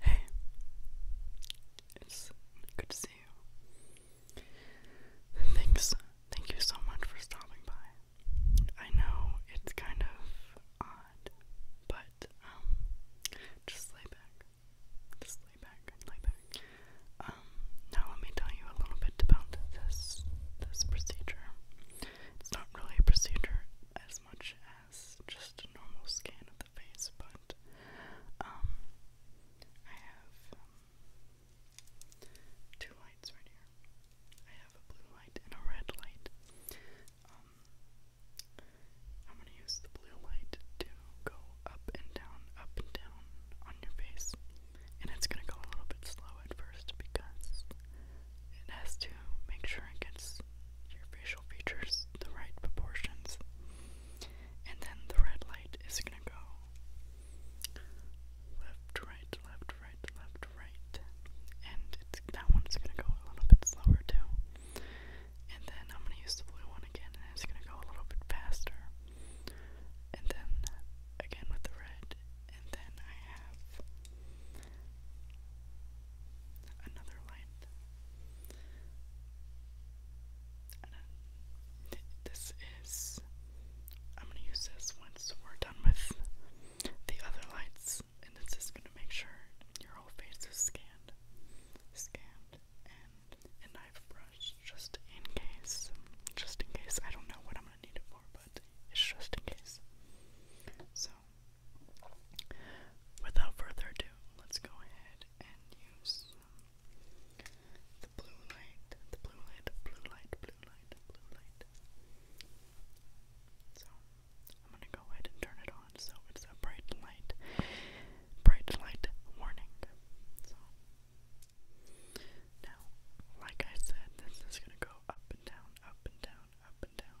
Hey, it's good to see you. Thanks, thank you so much for stopping by. I know it's kind of odd, but um, just lay back, just lay back, lay back. Um, now let me tell you a little bit about this this procedure. It's not really a procedure as much just a normal scan of the face, but um, I have um, two lights right here. I have a blue light and a red light. Um, I'm gonna use the blue light to go up and down, up and down on your face, and it's gonna go a little bit slow at first because it has to make sure it gets your facial features the right proportions. And then the red light is going to go left, right, left, right, left, right. And it's, that one's going to go a little bit slower too. And then I'm going to use the blue one again, and it's going to go a little bit faster. And then again with the red. And then I have another light this is. I'm gonna use this once we're done with the other lights, and it's just gonna make sure your whole face is scanned, scanned, and a knife brush just in case, just in case. I don't know what I'm gonna need it for, but it's just in case. So Without further ado, let's go ahead and use the blue light, the blue light, blue light, blue light, blue light. So, I'm gonna go ahead and turn it on. So, it's a bright light, bright light warning. So, now, like I said, this is gonna go up and down, up and down, up and down.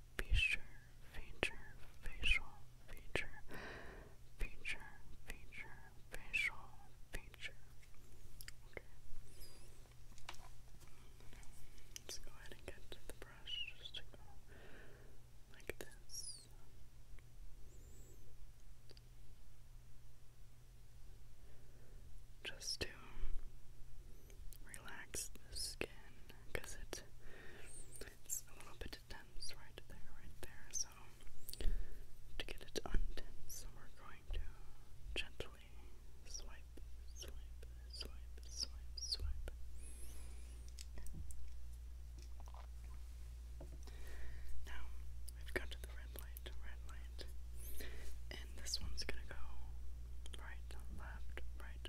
feature, feature, facial, feature, feature, feature, facial, feature. Okay. Let's go ahead and get to the brush just to go like this. Just to relax the skin because it's a little bit tense right there, right there. So, to get it untense, we're going to gently swipe, swipe, swipe, swipe, swipe. Now, we've got to the red light, red light. And this one's gonna go right, left, right,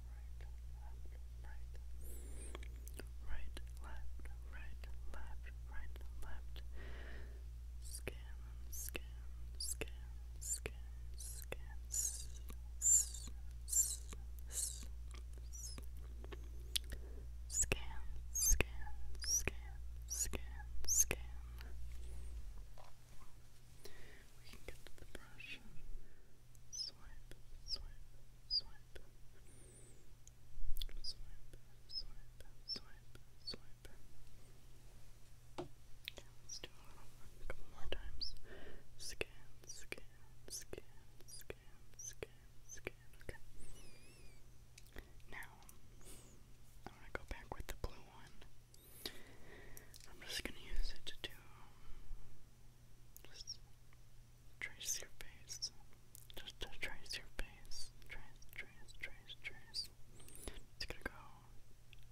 right, left, right, left, right, left. Scan, scan, scan, scan, scan. S -s -s -s -s. Scan, We can get to the brush, swipe, swipe, swipe, swipe, swipe, swipe, swipe. Okay, let's do a couple more times. Scan, scan, scan, scan, scan, scan. Okay. Now, I'm gonna go back with the blue one. I'm just gonna use it to do just trace your face. Just to trace your face. Trace, trace, trace, trace. It's gonna go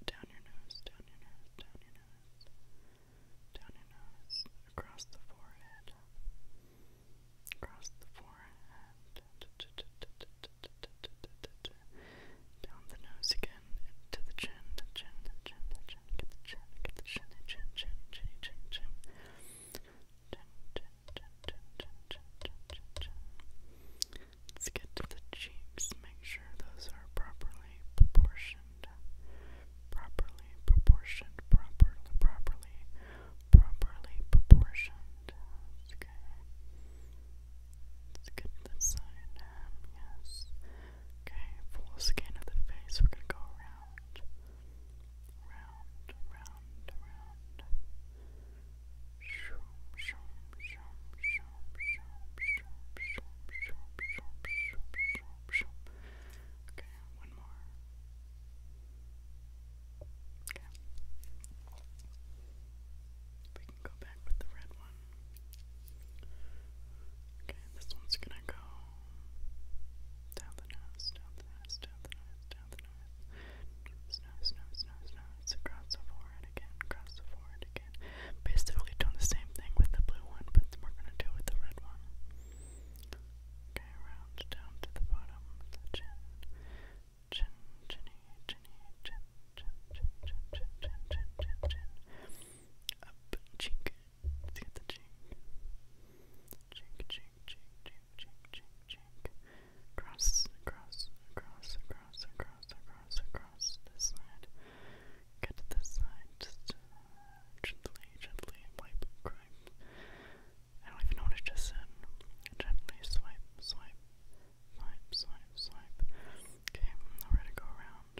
down your nose, down your nose, down your nose, down your nose, across the forehead, across the forehead, down the nose again to the chin, to the chin, the chin, to the chin, to the chin, the chin, chin, chin, chin, chin, chin, Let's get to the cheeks. Make sure those are properly proportioned. Properly proportioned. Properly, properly, properly proportioned. Okay. Let's get this side. yes. Okay, full scan of the face. We're gonna go around, round, round, around. Shoom, shoom, shoom, shoom, shoom, shoom, shoom, shoom, shoom, shoom, shoom, shoom. Okay, one more. Okay. We can go back with the red one. Okay, this one's gonna go down the nose, down the nose, down the nose, down the nose. Nose, nose, nose, nose, Across the forehead again, across the forehead again. Basically doing the same thing with the blue one, but we're gonna do it with the red one. Okay, round down to the bottom chin. Chin, chinny, chinny, chin, chin, chin, chin, chin, chin, chin, chin. Up cheek, Let's get the chink. Chink, chink, chink, chink, chink, chink, chink. across, across, across, across, across, across this side. Get to this side. Just gently, gently wipe, I don't even know what I just said. Gently swipe, swipe, swipe, swipe, swipe. Okay, now we're gonna go around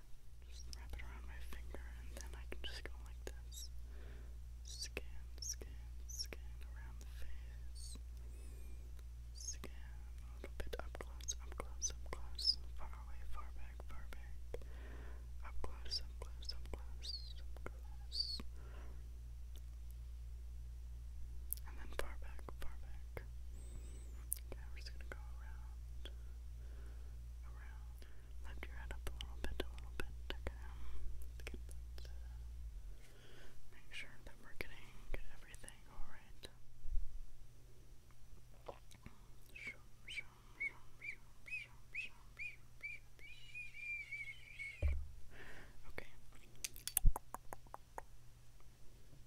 Just wrap it around my finger and then I can just go like this. Scan, scan, scan around the face. Scan a little bit up close, up close, up close. Far away, far back, far back. Up close, up close, up close, up close. And then far back, far back. Okay, gonna go Around, around. Lift your head up a little bit, a little bit. Okay. Let's get that. Uh, make sure that we're getting everything alright. Okay